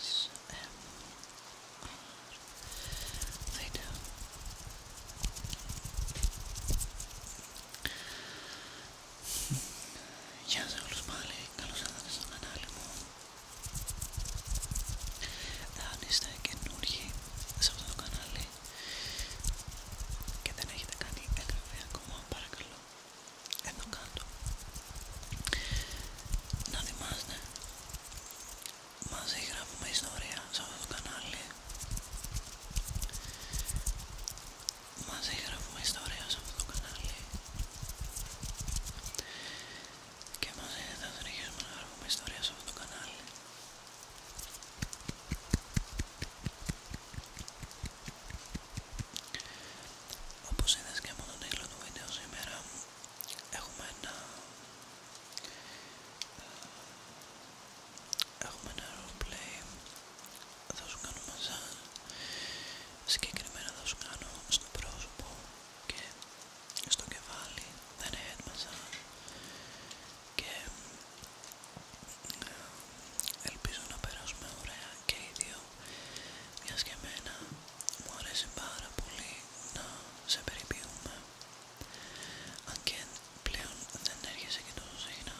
S M R. Γεια σε όλους πάλι, καλώς ήρθατε στο κανάλι μου. Αν είστε καινούργοι σε αυτό το κανάλι και δεν έχετε κάνει εγγραφή ακόμα, παρακαλώ εδώ κάτω να θυμάστε μαζί γράφουμε ιστορία σε αυτό το κανάλι μαζί γράφουμε ιστορία σε αυτό το κανάλι και μαζί θα συνεχίσουμε να γράφουμε ιστορία σε αυτό το κανάλι όπως είδες και μόνο το τίτλο του βίντεο σήμερα Έχουμε ένα, ε, έχουμε ένα θα σου κάνω μαζάν, συγκεκριμένα θα σου κάνω στο πρόσωπο και στο κεφάλι, δεν είναι head και ε, ελπίζω να περάσουμε ωραία και οι δύο μιας και εμένα μου αρέσει πάρα πολύ να σε περιποιούμε αν και πλέον δεν έρχεσαι και τόσο συχνά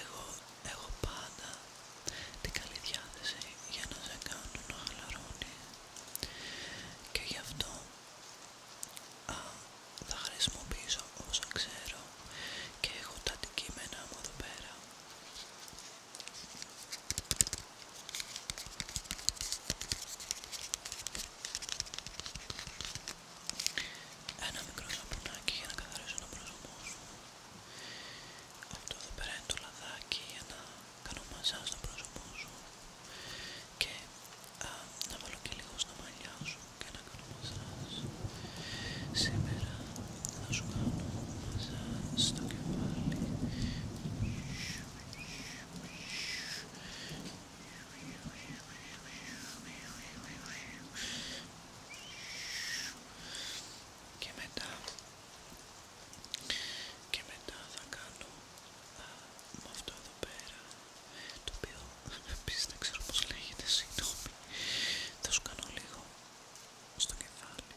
εγώ έχω πάντα την καλή διάθεση για να σε κάνω να χαλαρώνει και γι' αυτό α, θα χρησιμοποιήσω όσα ξέρω και έχω τα αντικείμενα μου εδώ πέρα ένα μικρό σαπουνάκι για να καθαρίσω να πρόσωπό σου. Αυτό εδώ πέρα είναι το λαδάκι για να κάνω μασά στο πρόσωπό σου και να βάλω και λίγο στα μαλλιά σου και να κάνω μασάζ. Σήμερα θα σου κάνω μασάζ στο κεφάλι. Και μετά, και μετά θα κάνω με αυτό εδώ πέρα, το οποίο επίσης δεν ξέρω πώς λέγεται, συγγνώμη, θα σου κάνω λίγο στο κεφάλι.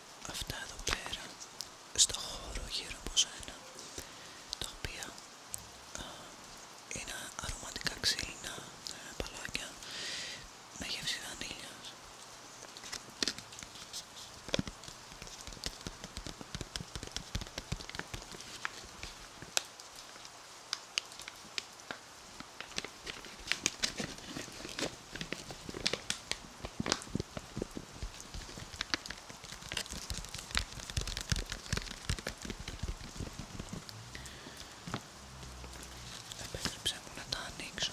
αυτά εδώ πέρα στο χώρο γύρω από σένα τα οποία είναι αρωματικά ξύλινα ε, παλάκια με γεύση Επέτρεψέ μου να τα ανήξω;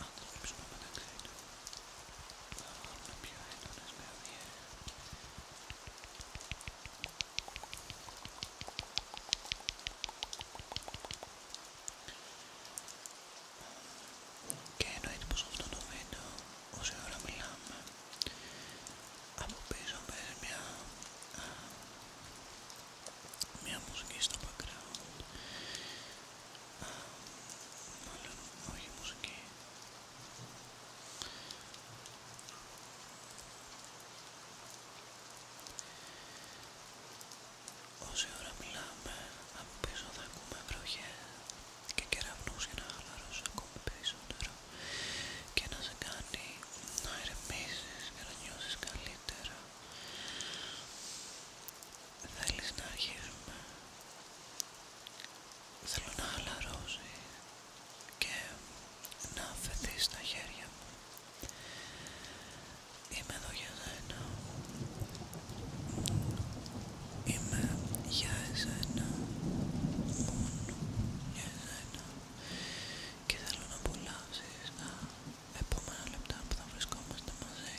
Αν το ρίξουμε μεταξύ του, θα βγάλουν πιο έντονες μελωδιές. Και εννοείται πως αυτό το βίντεο, όση ώρα μιλάμε, από πίσω παίζει μια, μουσική στο background μάλλον όχι μουσική Όση ώρα μιλάμε από πίσω θα ακούμε βροχές και κεραυνούς για να χαλαρώσω ακόμη περισσότερο και να σε κάνει να ηρεμήσεις και να νιώσεις καλύτερα. Θέλεις να αρχίσουμε. Θέλω να χαλαρώσει και να φεθεί στα χέρια μου. Είμαι εδώ για εσένα. Είμαι για εσένα. Μόνο για εσένα και θέλω να απολαύσεις τα επόμενα λεπτά που θα βρισκόμαστε μαζί.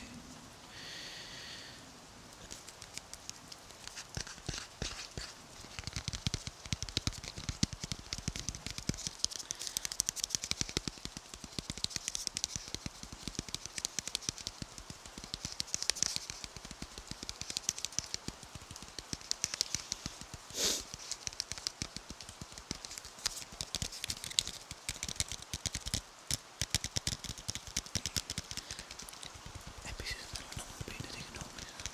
Επίσης θέλω να μου πείτε τη γνώμη σας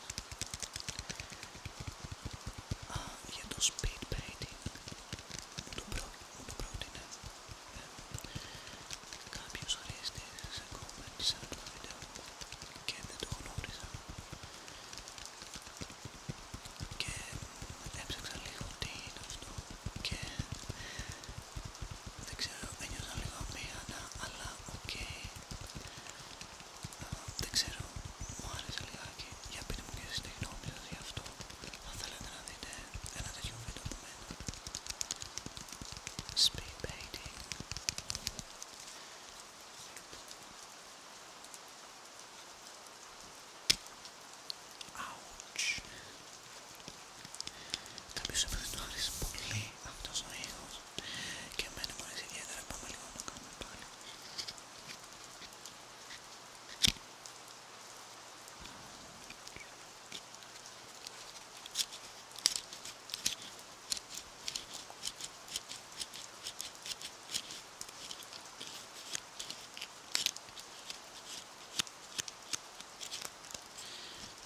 για το speed painting μου το, προ... μου το πρότεινε ε, κάποιος χρήστης σε comments σε αυτό το βίντεο και δεν το γνώρισα και έψαξα λίγο τι είναι αυτό και δεν ξέρω, ένιωσα λίγο αμήχανα αλλά οκ ε, δεν ξέρω, μου άρεσε λιγάκι για πείτε μου και εσείς τη σας γι' αυτό αν θέλετε να δείτε ένα τέτοιο βίντεο από μένα Speed baiting. Ouch. Κάποιος έπρεπε να αρέσει πολύ αυτός ο ήχος και εμένα μου αρέσει ιδιαίτερα, πάμε λίγο να κάνουμε πάλι.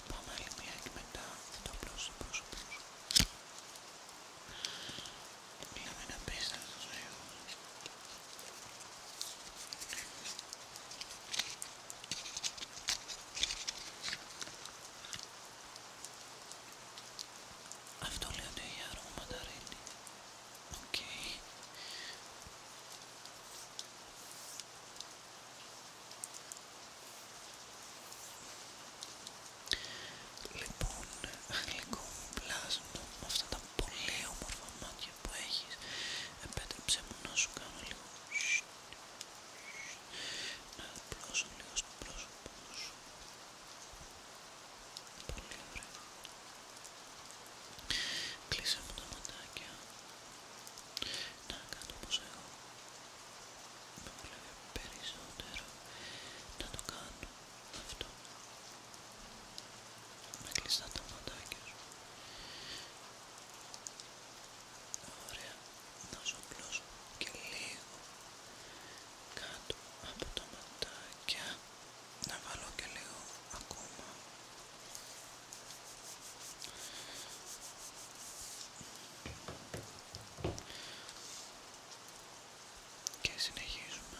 Πάμε άλλη μία και μετά θα το πρόσωπο σου. Μιλάμε να πεις αυτό λέει ότι έχει άρωμα Λοιπόν, γλυκό πλάσμα με αυτά τα πολύ όμορφα μάτια που έχεις επέτρεψε μου να σου κάνω λίγο να απλώσω λίγο στο πρόσωπο σου. Πολύ ωραία. Κλείσε μου τα ματάκια. Να κάνω όπως εγώ. Με βολεύει περισσότερο να το κάνω αυτό. Με κλειστά τα ματάκια σου. Ωραία. Να απλώς και λίγο κάτω από τα ματάκια να βάλω και λίγο ακόμα και συνεχίζουμε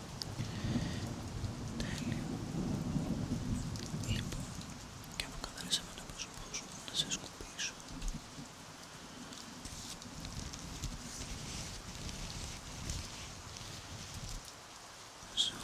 Τέλειο. Λοιπόν, και αποκαθαρίσαμε καθαρίσαμε το πρόσωπό σου, να σε σκουπίσω. Ζοκ.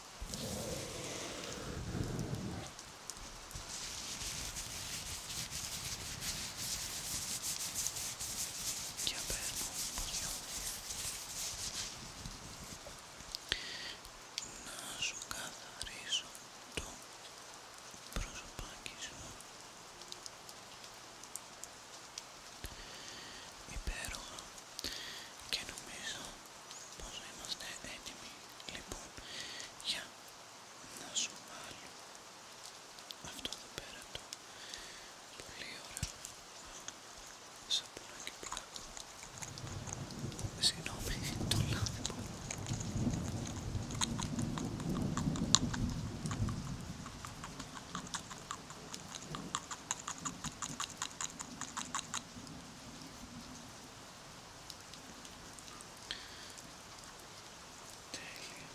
και απέρνω να σου καθαρίσω το προσωπάκι σου υπέροχα και νομίζω πως είμαστε έτοιμοι λοιπόν για να σου βάλω αυτό εδώ πέρα το πολύ ωραίο σαπουνάκι που συγγνώμη το λάδι μου Τέλεια.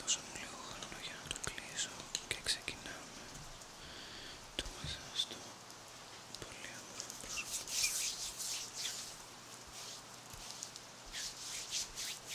Δώσα μου λίγο χρόνο για να το κλείσω και ξεκινάμε το μεσάστο πολύ όμορφο πρόσωπο.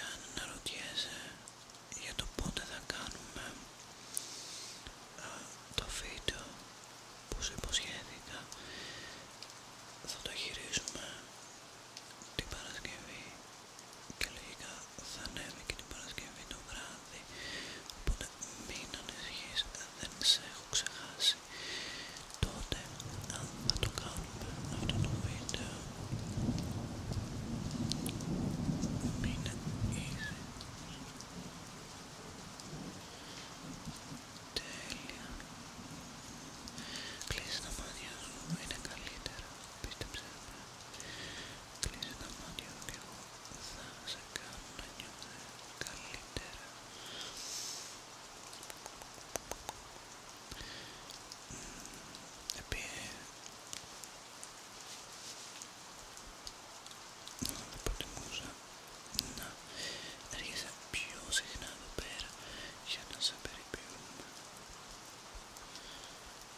Αν αναρωτιέσαι για το πότε θα κάνουμε το βίντεο που σου υποσχέθηκα, θα το χειρίζουμε την Παρασκευή και λογικά θα ανέβει και την Παρασκευή το βράδυ οπότε μην ανησυχείς, δεν σε έχω ξεχάσει τότε αν θα το κάνουμε αυτό το βίντεο μην easy τέλεια Κλείσει τα μάτια σου, είναι καλύτερα, πίστεψε Κλείσε τα μάτια σου και εγώ θα σε κάνω να νιώθεις καλύτερα. Επειδή προτιμούσα να έρχεσαι πιο συχνά εδώ πέρα για να σε περιποιούμε.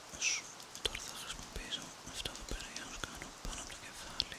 Τώρα θα χρησιμοποιήσω αυτό εδώ πέρα για να σου κάνω πάνω από το κεφάλι.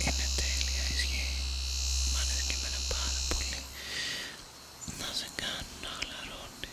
Είναι τέλεια ισχύει. Μ' αρέσει και ένα πάρα πολύ να σε κάνουν να χαλαρώνει.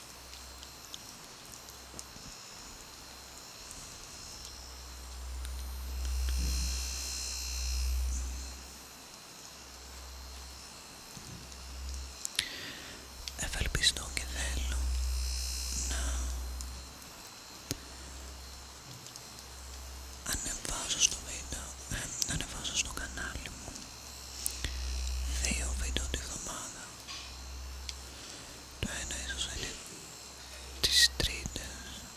Ευελπιστώ και θέλω να ανεβάσω στο βίντεο, ε, να στο κανάλι μου δύο βίντεο τη βδομάδα το ένα ίσως είναι τις τρίτες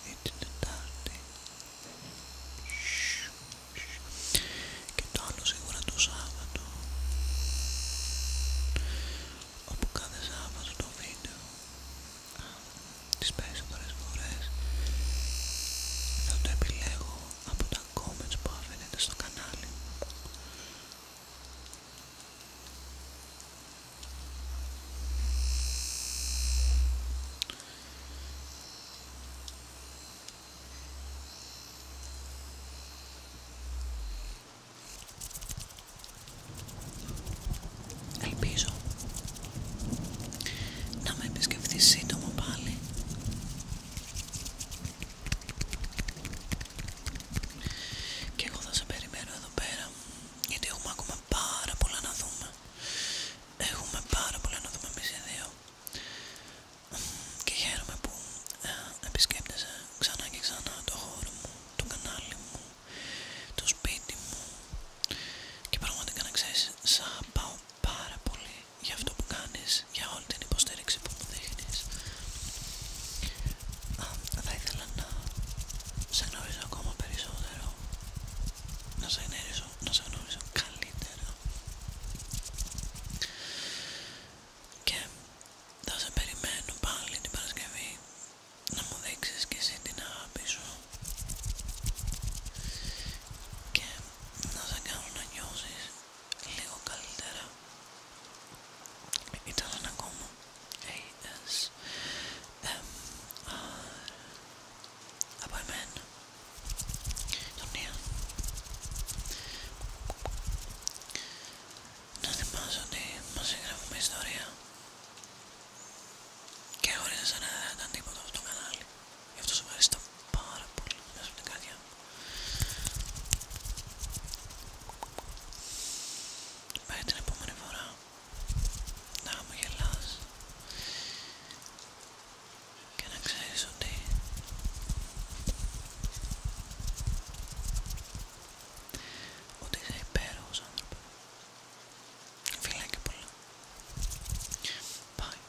ή την τετάρτη και το άλλο σίγουρα το Σάββατο όπου κάθε Σάββατο το βίντεο τις περισσότερες φορές θα το επιλέγω από τα comments που αφήνετε στο κανάλι Ελπίζω να με επισκεφθείς σύντομα πάλι και εγώ θα σε περιμένω εδώ πέρα γιατί έχουμε ακόμα πάρα πολλά να δούμε. Έχουμε πάρα πολλά να δούμε εμείς οι δύο. Και χαίρομαι που ε, επισκέπτεσαι ξανά και ξανά το χώρο μου, το κανάλι μου, το σπίτι μου. Και πραγματικά να ξέρεις, σ' αγαπάω πάρα πολύ για αυτό που κάνεις για όλη την υποστήριξη που μου δείχνεις. θα ήθελα να σε γνωρίζω ακόμα περισσότερο, να σε γνωρίζω, να σε γνωρίζω καλύτερα και θα σε περιμένω πάλι την Παρασκευή να μου δείξεις και εσύ την αγάπη σου και να σε κάνω να νιώσεις λίγο καλύτερα ήταν ένα ακόμα ASMR από εμένα τον Ιαν να θυμάσαι ότι μας εγγραφούμε ιστορία και χωρίς εσένα δεν ήταν τίποτα στο κανάλι γι' αυτό σου ευχαριστώ πάρα πολύ μέσα από την Μέχρι την επόμενη φορά να χαμογελάς και να ξέρεις ότι ότι είσαι υπέροχος άνθρωπος. Φιλάκια πολλά. Bye.